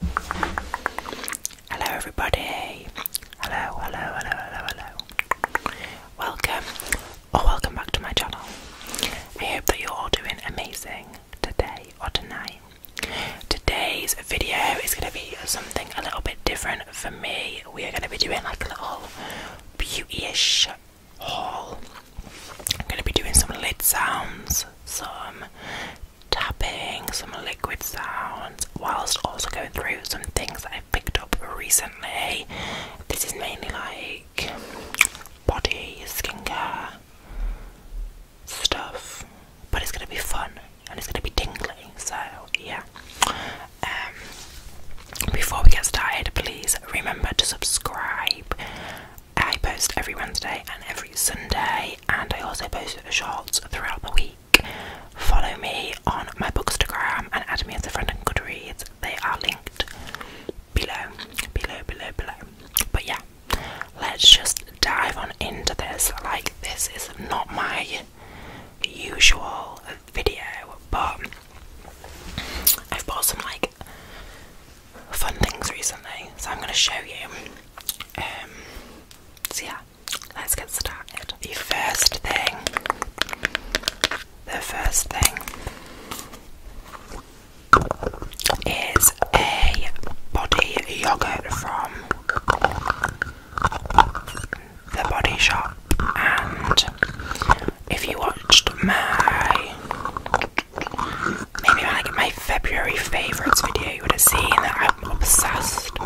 Hello, everybody. Hello, hello, hello, hello, hello. Welcome, or welcome back to my channel. I hope that you're all doing amazing today or tonight. Today's video is going to be something a little bit different for me. We are going to be doing like a little beauty-ish haul. I'm going to be doing some lid sounds, some tapping, some liquid sounds, whilst also going through some things I've picked up recently. This is mainly like body, skincare stuff, but it's gonna be fun and it's gonna be tingly, so yeah. Um, before we get started, please remember to subscribe. I post every Wednesday and every Sunday day, and I also post shorts throughout the week. Follow me on my bookstagram and add me as a friend on Goodreads. They are linked below, below, below, below. But yeah, let's just dive on into this. Like, this is not my usual video, but I've bought some like fun things recently, so I'm going to show you. Um, so yeah, let's get started. The first thing, the first thing is a body yogurt from the Body Shop, and if you watched my maybe like my February favourites video, you would have seen that obsessed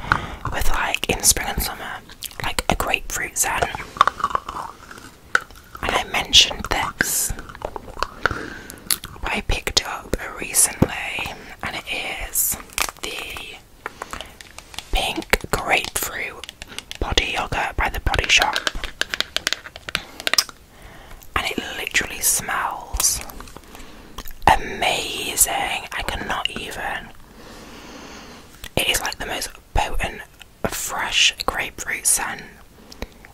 with like in spring and summer, like a grapefruit zen. And I mentioned this, I picked up recently, and it is the pink grapefruit body yogurt by the Body Shop. And it literally smells amazing. I cannot even. It is like the most potent, fresh grapefruit scent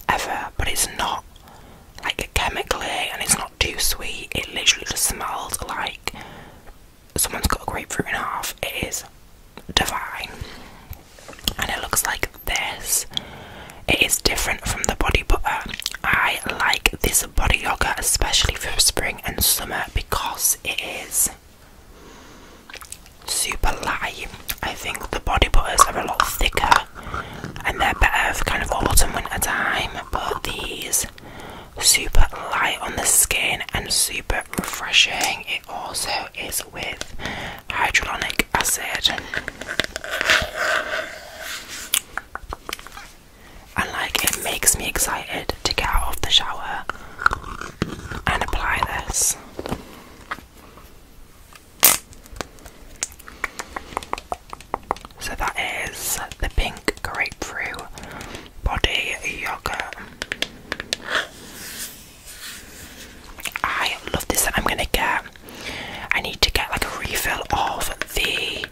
ever, but it's not like chemically and it's not too sweet. It literally just smells like someone's got a grapefruit in half. It is divine. And it looks like this. It is different from the body butter. I like this body yoga, especially for spring and summer, because it is super light. I think the body butters are a lot thicker and they're better for kind of autumn, winter time, but these super light on the skin and super refreshing. It also is with hyaluronic acid and like it makes me excited to get out of the shower and apply this. So that is the pink grapefruit body yogurt. I love this. I'm gonna get. I need to get like a refill of the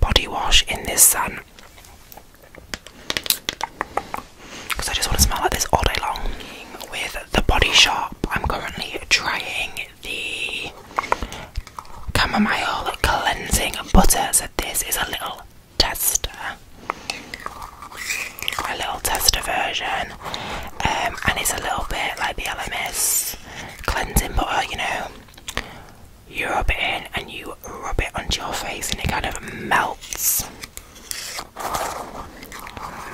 body wash in this sun because I just want to smell like this all day long. With the Body Shop, I'm currently trying the Camomile cleansing butter. So this is a little tester, a little tester version, um, and it's a little bit like the LMS cleansing butter, you know. You rub it in and you rub it onto your face and it kind of melts.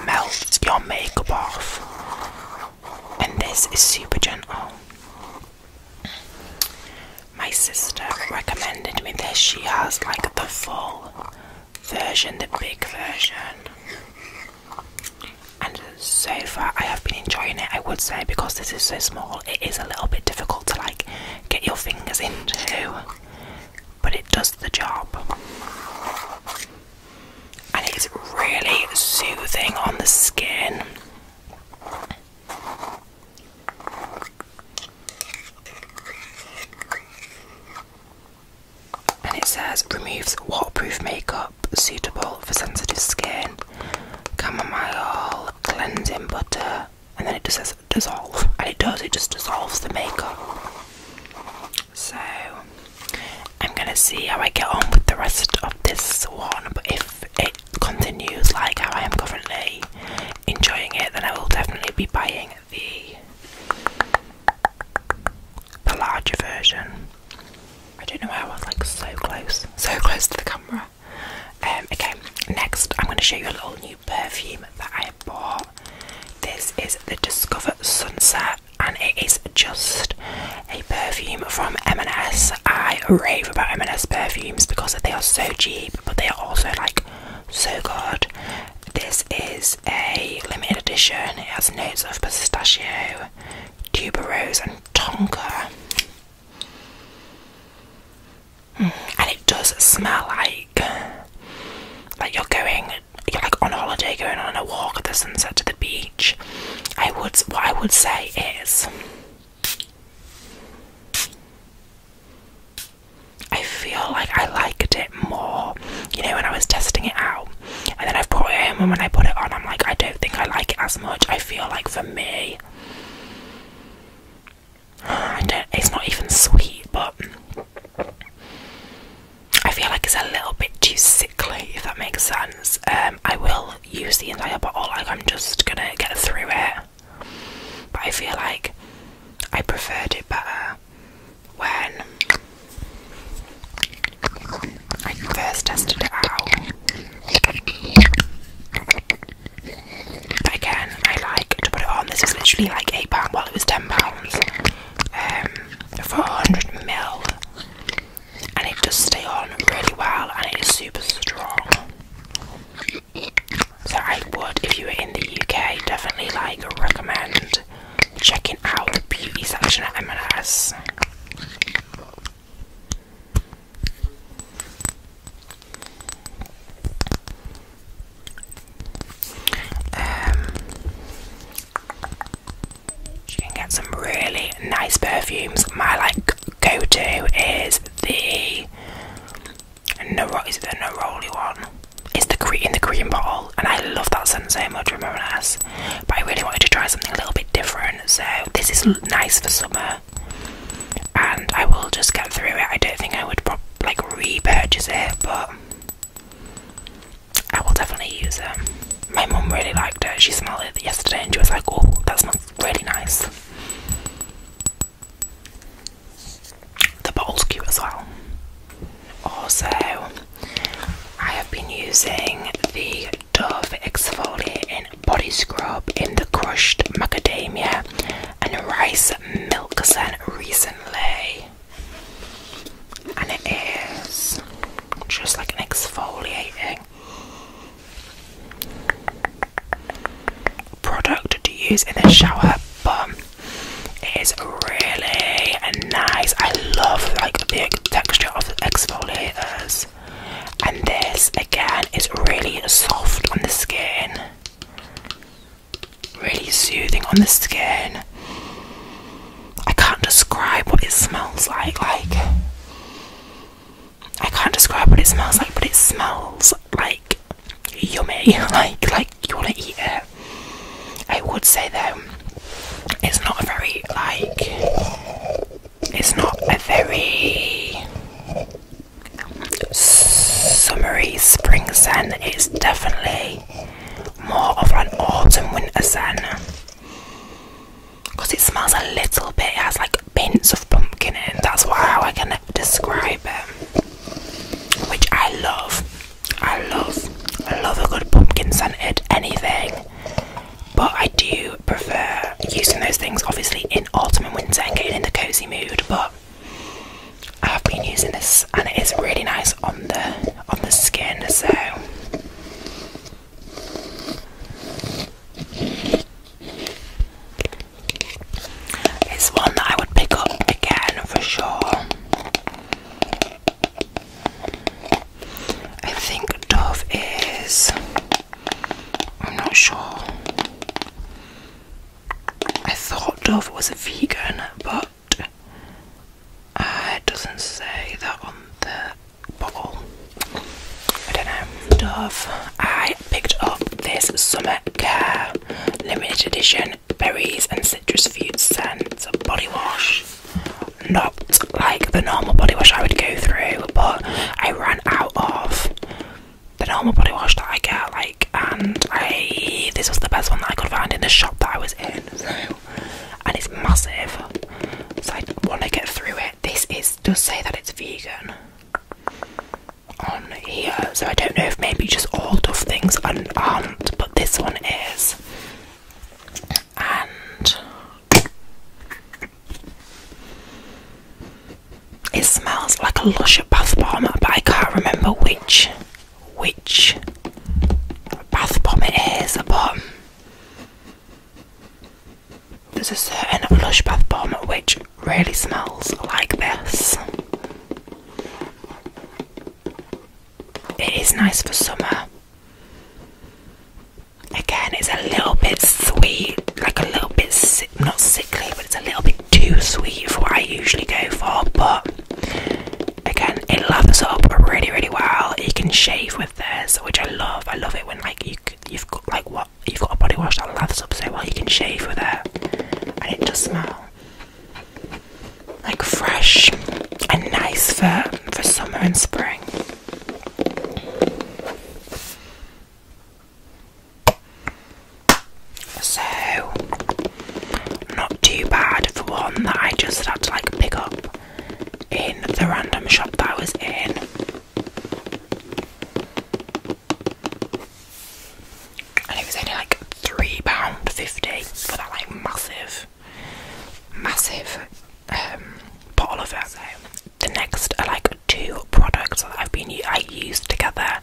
Melts your makeup off. And this is super gentle. My sister recommended me this. She has like the full version, the big version and so far I have been enjoying it I would say because this is so small it is a little bit difficult to like get your fingers into but it does the job and it's really soothing on the skin and it says removes waterproof makeup suitable for sensitive skin chamomile cleansing butter, and then it just says dissolve, and it does, it just dissolves the makeup. So, I'm gonna see how I get on with the rest of this one, but if it continues like how I am currently enjoying it, then I will definitely be buying the, the larger version. I don't know why I was like so close, so close to the camera. Um, okay, next I'm going to show you a little new perfume that I bought. This is the Discover Sunset, and it is just a perfume from M&S. I rave about M&S perfumes because they are so cheap, but they are also like so good. This is a limited edition. It has notes of pistachio, tuberose, and tonka. And it does smell like like you're going you're like on holiday going on a walk at the sunset to the beach. I would what I would say is I feel like I liked it more, you know, when I was testing it out. And then I've brought it home and when I put it on I'm like I don't think I like it as much. I feel like for me. I it's not even sweet, but I feel like it's a little bit too sickly, if that makes sense. Um, I will use the entire bottle, like I'm just gonna get through it. But I feel like I preferred it better when I first tested it out. Again, I like to put it on. This was literally like £8 while it was £10 um, for 100ml. And it does stay on really well and it is super strong. So I would, if you were in the UK, definitely like recommend checking out the beauty section at M&S you um, can get some really nice perfumes. My like go-to is the no, is it the Neroli one? It's the in the green bottle, and I love that scent so much from m But I really wanted to try something a little bit different so this is nice for summer. And I will just get through it. I don't think I would like repurchase it, but I will definitely use it. My mum really liked it. She smelled it yesterday, and she was like, "Oh, that smells really nice." The bottle's cute as well. Also, I have been using the Dove Exfoliating Body Scrub in the Crushed Macadamia and Rice Milk scent recently. And it is just like an exfoliating product to use in the shower, but it is really nice. I love like the texture of the exfoliators. And this again is really soft on the skin, really soothing on the skin. I can't describe what it smells like. Like, I can't describe what it smells like, but it smells like yummy. Like, like you wanna eat it. I would say though, it's not very like it's not a very summery spring scent. it's definitely more of an autumn winter sun because it smells a little bit, it has like pints of pumpkin in, that's what, how I can describe it, which I love. I love, I love a good pumpkin scent scented anything. But I do prefer using those things obviously in autumn and winter and getting in the cozy mood. But I have been using this and it is really nice on the on the skin. So it's one that I would pick up again for sure. I think Dove is I'm not sure. I thought Dove was a vegan, but it doesn't say that on the bottle. I don't know. Dove. I picked up this Summer Care limited edition berries and citrus fruit scent body wash. Not like the normal body wash I would go through, but I ran out of the normal body wash that I get, like, and this was the best one that I could find in the shop that I was in, so and it's massive, so I want to get through it. This is does say that it's vegan on here, so I don't know if maybe just all Dove things aren't, but this one is. And it smells like a lush bath bomb, but I can't remember which which bath bomb it is. But there's a certain lush bath bomb which really smells like this. It is nice for summer. Again, it's a little bit sweet, like a little bit si not sickly, but it's a little bit too sweet for what I usually go for. But again, it lathers up really, really well. You can shave with this, which I love. I love it when like you you've got like what you've got a body wash that lathers up so well. You can shave with it, and it does smell like fresh and nice for for summer and spring. So, not too bad for one that I just had to like pick up in the random shop that I was in. And it was only like £3.50 for that like massive, massive um, bottle of it the next are uh, like two products that I've been I used together,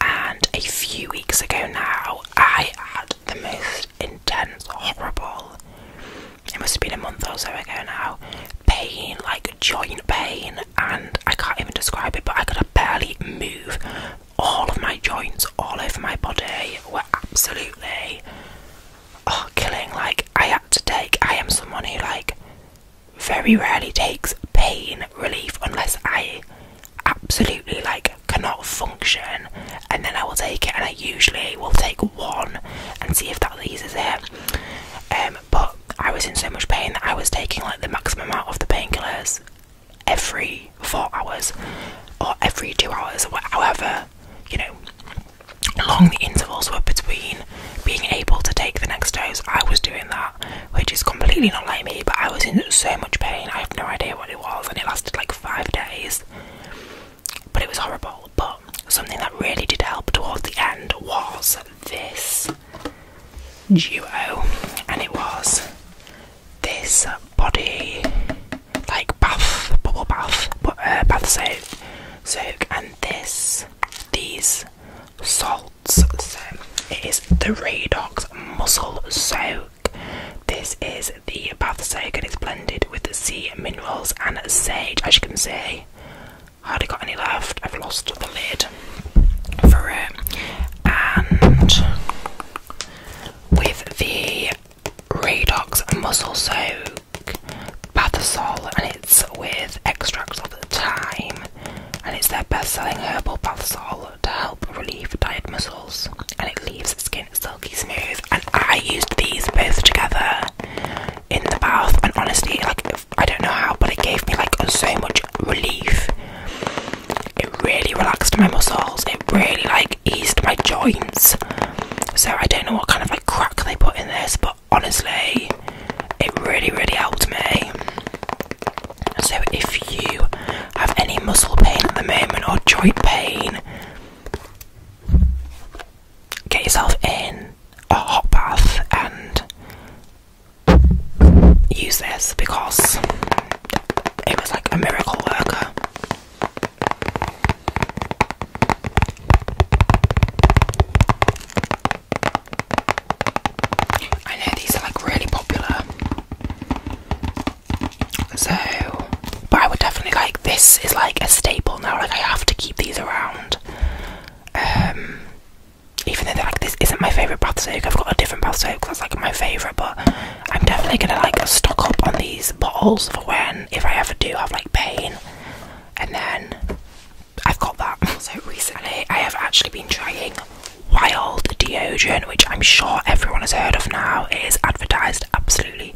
and a few weeks ago now I had the most intense, horrible. It must have been a month or so ago now. Pain, like joint pain, and I can't even describe it, but I could barely move. All of my joints, all over my body, were absolutely oh, killing. Like I had to take. I am someone who like very rarely takes pain relief unless I absolutely like cannot function and then I will take it and I usually will take one and see if that eases it. Um but I was in so much pain that I was taking like the maximum amount of the painkillers every four hours or every two hours or however, you know long the intervals were between being able to take the next dose. I was doing that, which is completely not like me, but I was in so much pain. I have no idea what it was, and it lasted like five days. But it was horrible. But something that really did help toward the end was this duo, and it was this body like bath, bubble bath, but, uh, bath soap, soak, and this is these salts. So it is the Redox Muscle Soak. This is the bath soak and it's blended with sea minerals and sage. As you can see, hardly got any left. I've lost the lid for it. And with the Redox Muscle Soak. Bathysol, and it's with extracts of thyme, and it's their best-selling herbal bath Bathysol to help relieve tired muscles, and it leaves the skin silky smooth. And I used these both together in the bath, and honestly, like I don't know how, but it gave me like so much relief. It really relaxed my muscles. It really like eased my joints. So I don't know what kind of like crack they put in this, but honestly, it really, really helped me. So, if you have any muscle pain at the moment or joint pain, get yourself in a hot bath and use this because it was like a miracle worker. I know these are like really popular. So, but I would definitely like this is like a staple now. Like I have to keep these around. Um, even though like this isn't my favorite bath soap, I've got a different bath soap that's like my favorite. But I'm definitely gonna like stock up on these bottles for when if I ever do have like pain, and then I've got that. So recently, I have actually been trying wild deodorant, which I'm sure everyone has heard of now. It is advertised absolutely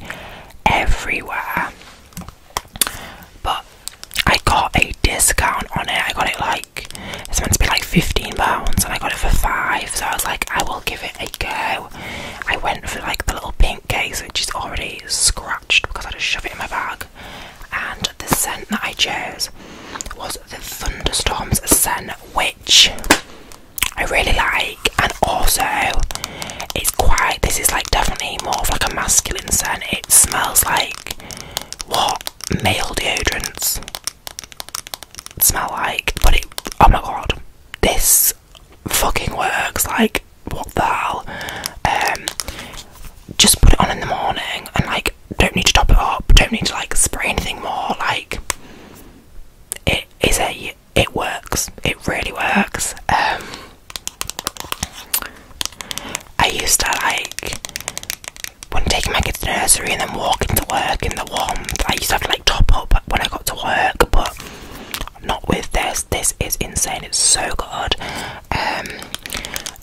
everywhere. But I got a discount on it. I got it like it's meant to be like fifteen pounds, and I got it for five. So I was like, I will give it a go. I went for like the little pink case, which is already scratched because I just shoved it in my bag and the scent that I chose was the Thunderstorms scent, which I really like, and also it's quite. This is like definitely more of like a masculine scent. It smells like what male deodorants smell like, but it. Oh my god, this fucking works! Like what the hell? Um, just put it on in the morning and like, don't need to top it up, don't need to like spray anything more. Like, it is a, it works, it really works. Um, I used to like when taking my kids to nursery and then walking to work in the warmth. I used to have to like top up when I got to work, but not with this. This is insane. It's so good. Um,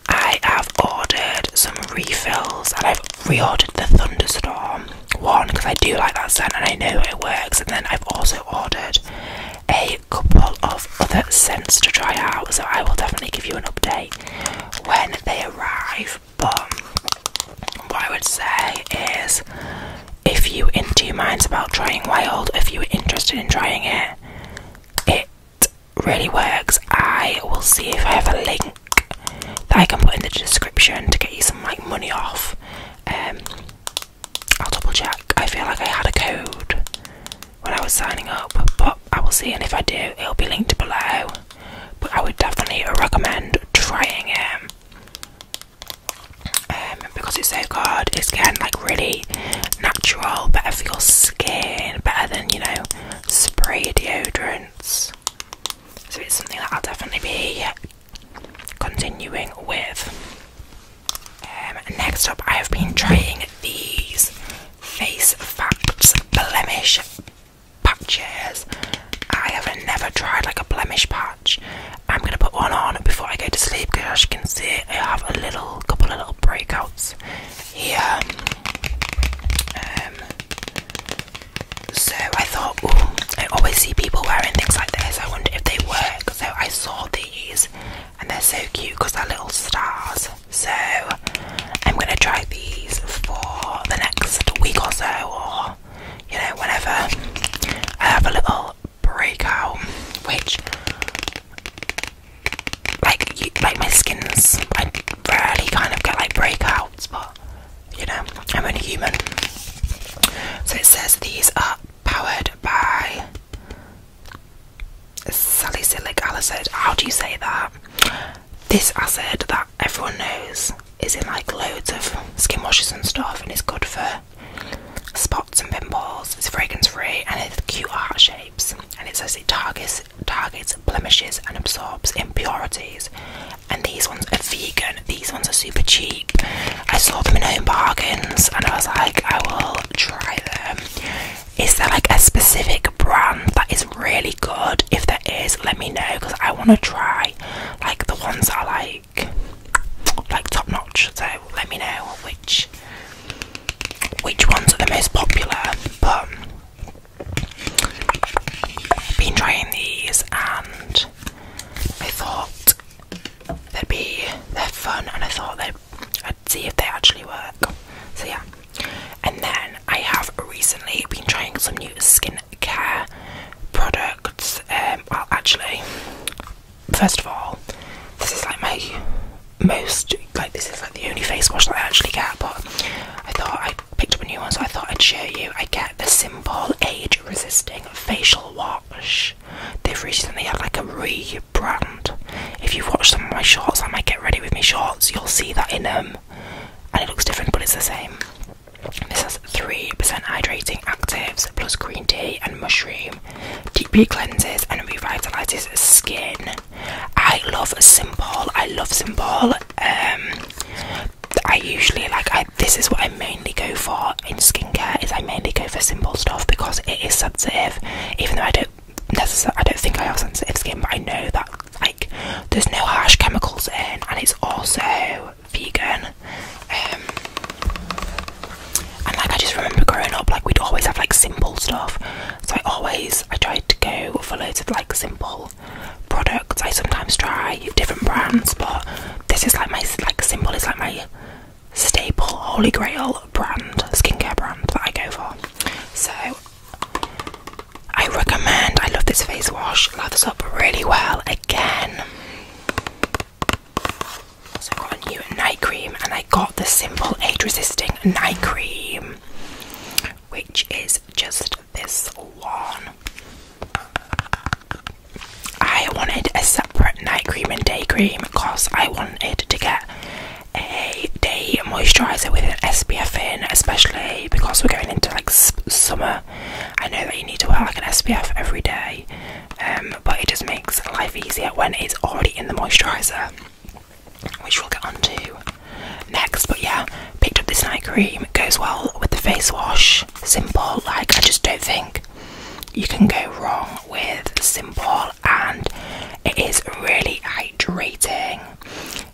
I have ordered some refills and I've reordered the Thunderstorm one because I do like that scent and I know it works. And then I've also ordered a couple of other scents to try out, so I will definitely give you an update when they arrive. But what I would say is if you into your minds about trying wild, if you are interested in trying it, it really works. I will see if I have a link that I can put in the description to get you some like money off. Um, I'll double check. I feel like I had a code when I was signing up, but I will see. And if I do, it'll be linked below. But I would definitely recommend trying it um, because it's so good. It's getting like really very natural, better for your skin, better than, you know, spray deodorants. So it's something that I'll definitely be continuing with. Um, next up, I have been trying these Face Facts Blemish Patches. I have never tried like a blemish patch. I'm gonna put one on before I go to sleep because as you can see I have a little couple of little breakouts here. Um, um, so I thought, oh, I always see people wearing things like this. I wonder if they work. So I saw these, and they're so cute because they're little stars. So I'm gonna try these for the next week or so, or you know, whenever I have a little breakout, which like my skin's. I rarely kind of get like breakouts, but you know, I'm only human. So it says these are powered by salicylic acid. How do you say that? This acid that everyone knows is in like loads of skin washes and stuff, and it's good for spots and pimples. It's fragrance free and it's cute heart shape and it says it targets targets blemishes and absorbs impurities. And these ones are vegan. These ones are super cheap. I saw them in Home Bargains, and I was like, I will try them. Is there like a specific brand that is really good? If there is, let me know because I want to try like the ones that are like like top notch. So let me know which which ones are the most popular, but I've been trying these and I thought they'd be they're fun and I thought I'd see if they actually work. So yeah. And then I have recently been trying some new skincare products. Um well actually first of all this is like my most like this is like the only face wash that I actually get, but I thought I picked up a new one, so I thought I'd show you. I get the simple age-resisting facial wash. They've recently had like a rebrand. If you've watched some of my shorts, I might get ready with me shorts. You'll see that in them, um, and it looks different, but it's the same. This has three percent hydrating actives plus green tea and mushroom. Deep cleanses and revitalizes skin. I love simple. I love simple. Um, I usually like. this is what I mainly go for in skincare. Is I mainly go for simple stuff because it is sensitive. Even though I don't necessarily, I don't think I have sensitive skin, but I know that like there's no harsh chemicals in, and it's also vegan. Um, and like I just remember growing up like we'd always have like simple stuff so I always I tried to go for loads of like simple products I sometimes try different brands but this is like my like simple is like my staple holy grail brand skincare brand that I go for so I recommend I love this face wash lathers up really well again new night cream and I got the simple age resisting night cream which is just this one. I wanted a separate night cream and day cream because I wanted to get a day moisturizer with an SPF in, especially because we're going into like summer. I know that you need to wear like an SPF every day, um, but it just makes life easier when it's already in the moisturizer which we'll get on to next. But yeah, picked up this night cream, it goes well with the face wash. Simple, like I just don't think you can go wrong with simple, and it is really hydrating,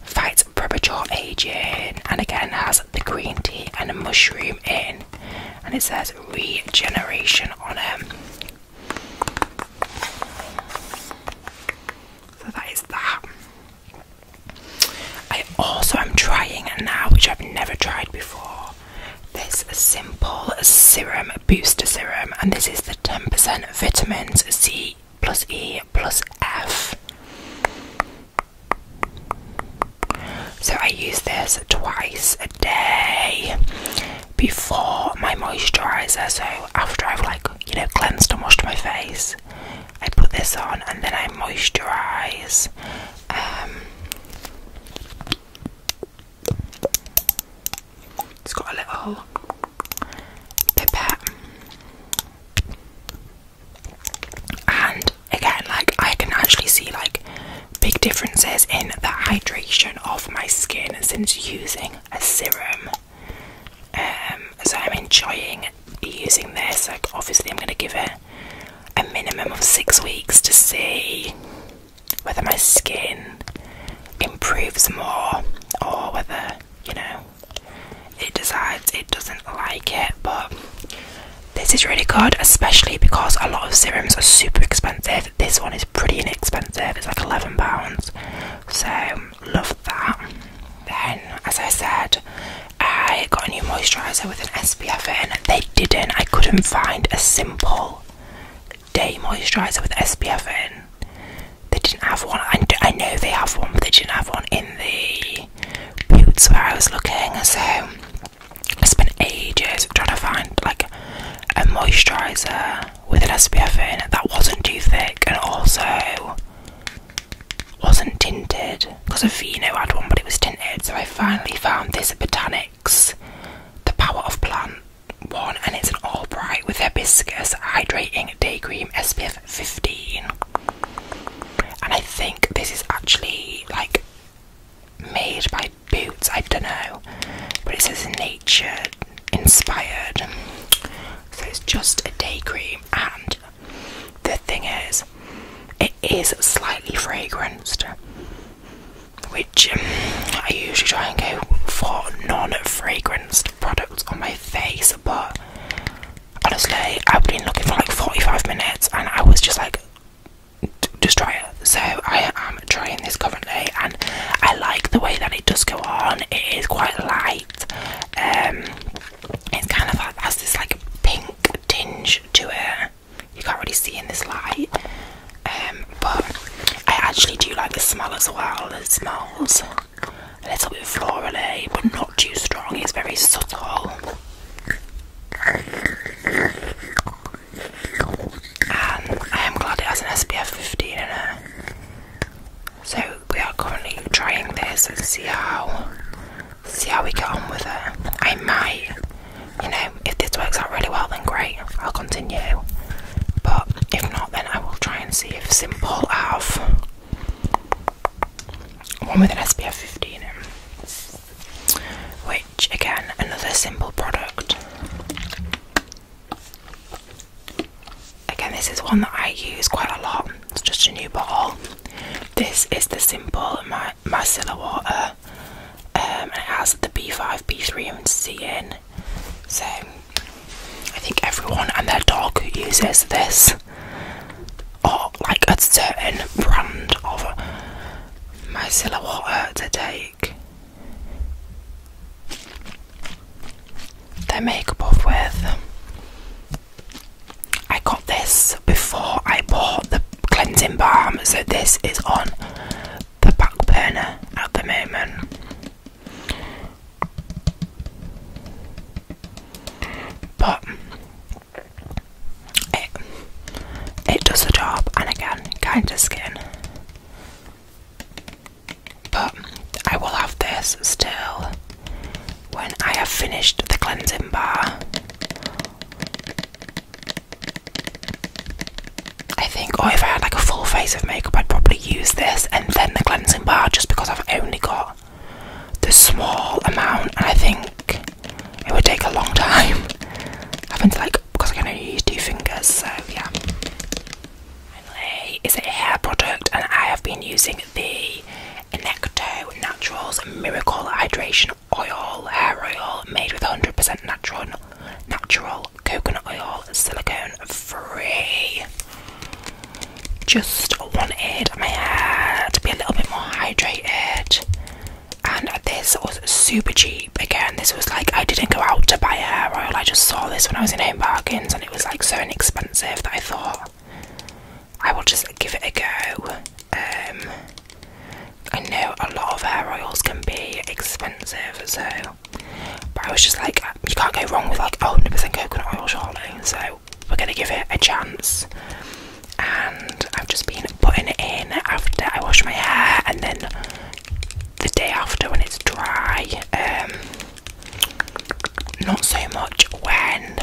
fights premature aging, and again has the green tea and a mushroom in. And it says regeneration on it. So that is that. I also am trying now, which I've never tried before, this simple serum booster serum, and this is the 10% vitamins C plus E plus F. So I use this twice a day before my moisturizer. So after I've like you know cleansed and washed my face, I put this on and then I moisturize. Um, it's got a little pipette. And again, like I can actually see like big differences in the hydration of my skin since using a serum. Um, so I'm enjoying using this. Like obviously, I'm going to give it a minimum of six weeks to see whether my skin improves more or whether you know it decides it doesn't like it. But this is really good, especially because a lot of serums are super expensive. This one is pretty inexpensive. It's like eleven pounds. So love that. Then, as I said, I got a new moisturiser with an SPF in. They didn't. I couldn't find a simple day moisturiser with SPF in. They didn't have one. I, I know they have one, but they didn't have one in the boots where I was looking. So I spent ages trying to find like a moisturiser with an SPF in it that wasn't too thick and also wasn't tinted because Aveeno had one but it was tinted. So I finally found this at Botanics, the Power of Plant one, and it's an all bright with hibiscus hydrating day cream SPF 15. And I think this is actually like made by Boots, I don't know, but it says nature inspired so it's just a day cream and the thing is it is slightly fragranced which um, I usually try and go for non-fragranced products on my face but honestly I've been looking for like 45 minutes and I was just like just try it so I am trying this currently and I like the way that it does go on. It is quite light. Um it's kind of has this like pink tinge to it. You can't really see in this light. Um, but I actually do like the smell as well. It smells a little bit florally but not too strong. It's very subtle. And I am glad it has an SPF 15 in it so we are currently trying this and see how see how we get on with it. I might, you know, if this works out really well, then great, I'll continue. But if not, then I will try and see if simple have one with an SPF 15 in, which again another simple product. Again, this is one that I use quite a lot. It's just a new bottle. This is the simple Mar Marcilla water. Um, and it has the B5, B3, and C in. So I think everyone and their dog uses this, or like a certain brand of micellar water to take their makeup off with. I got this before I bought the cleansing balm, so this is on the back burner at the moment. But it it does the job, and again, kind of skin. But I will have this still when I have finished the cleansing bar. I think, oh, if I had like a full face of makeup, I'd probably use this and then the cleansing bar just because I've only got the small amount, and I think it would take a long time. Having to like, because I can only use two fingers, so yeah. Finally, is a hair product, and I have been using the Enecto Naturals Miracle Hydration Oil Hair Oil made with 100% natural natural coconut oil, silicone free. Just wanted my hair to be a little bit more hydrated, and this was super cheap. Again, this was like I didn't go out to buy hair oil. I just saw this when I was in Home Bargains it was like so inexpensive that I thought I will just give it a go. Um, I know a lot of hair oils can be expensive, so but I was just like, you can't go wrong with like 100% coconut oil, surely. So we're gonna give it a chance. And I've just been putting it in after I wash my hair and then the day after when it's dry. Um, not so much when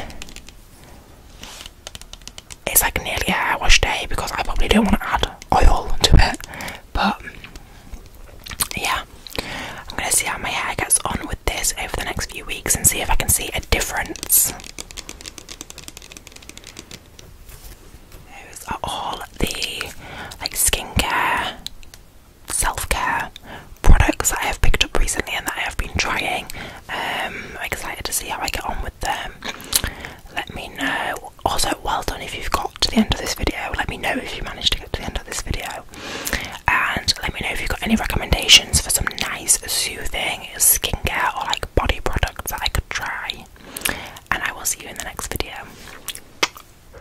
it's like nearly a hair wash day because I probably don't want to add oil to it. But yeah, I'm gonna see how my hair gets on with this over the next few weeks and see if I can see a difference. Those are all the like skincare self care products that I have picked up recently and that I have been trying. Um, I'm excited to see how I get on with them. Let me know. Also, well done if you've got to the end of this video. Let me know if you managed to get to the end of this video. And let me know if you've got any recommendations for some nice, soothing skincare or like body products that I could try. And I will see you in the next video.